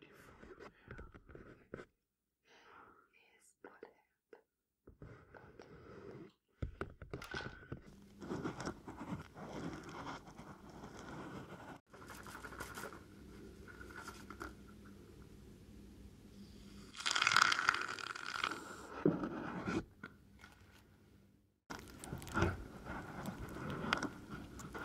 beautiful hair is not happening.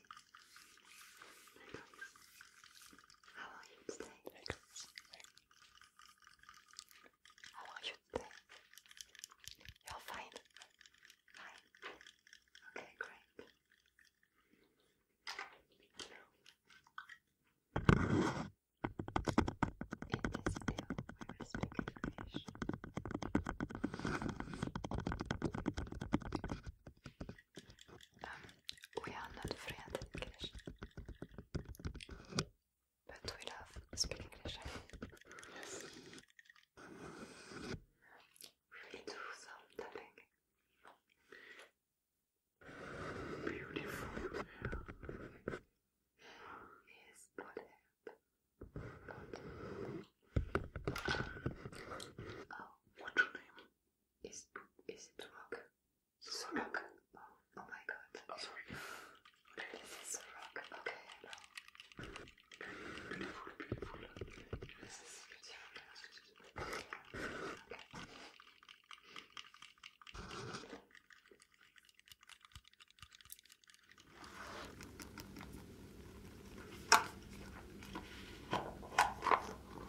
Pickles. How are you today? Pickles. How Okay, great. In this video, we will speak English. Um, we are not fluent in English, but we love speaking English. Beautiful hair. what happened? What's your name? Is is it rock? It's a rock. Oh, oh my god. Oh sorry. Okay. This is a rock. Okay.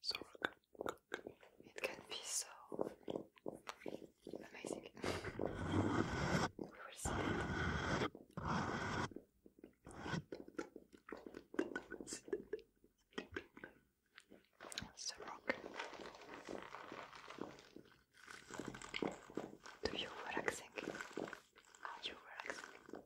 so it can be so amazing. we will see it. It's a rock. Do you relaxing? Are you relaxing?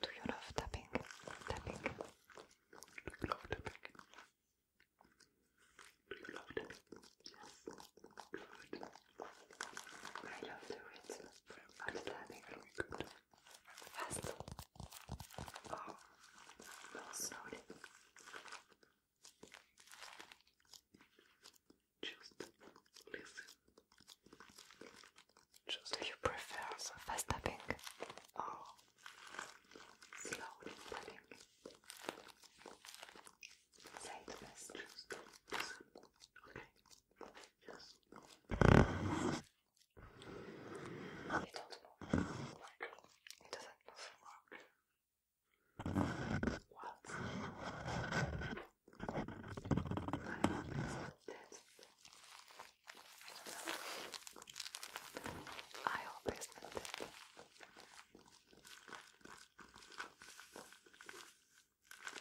Do you love tapping? Tapping? Do you love tapping? love tapping? I love to it. I'm tapping. Very good. Fast. Oh. No, slowly. Just listen. Just Do you prefer the fast tapping or oh, slow tapping? Say the best. Okay. Yes. It do this. I always meant it.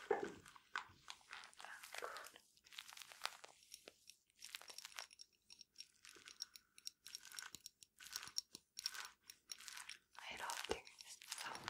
I don't sound.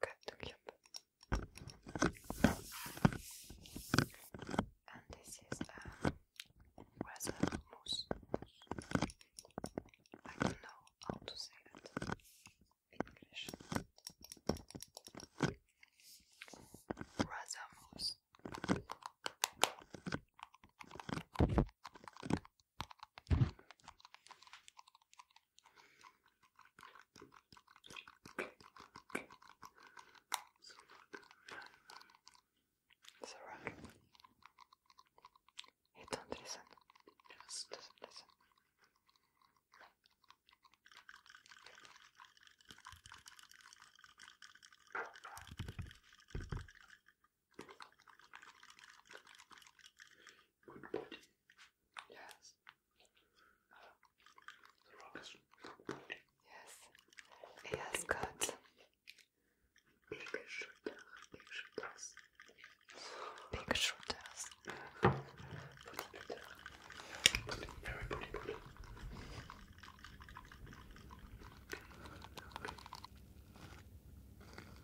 Got And this is a uh, raspberry mousse. I don't know how to say it in English. Raspberry mousse. It's alright. He don't listen. Yes. Doesn't listen. Good body. Yes. Yes. Yes, good. Big shooter, big shooters. Big shooters. very pretty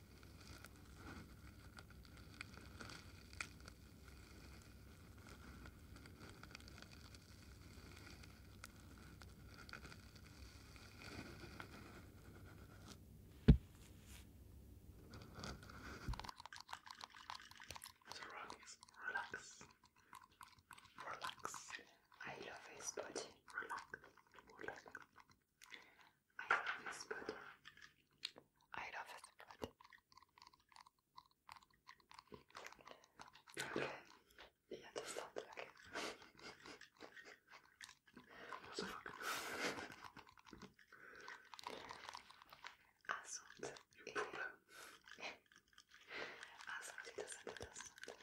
The rock is relax. Relax. I love his body. Relax. Relax. I love his food. I love his food. Okay. Yeah, just stop looking. What the fuck? Assunta. Your problem. Assunta doesn't understand me.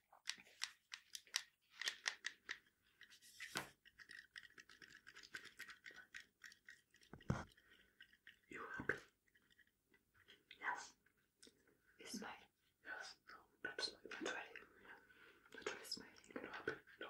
You happy? Yes. It's my yes. No, that's not even Yeah. Not really smiling. happy. happy. No.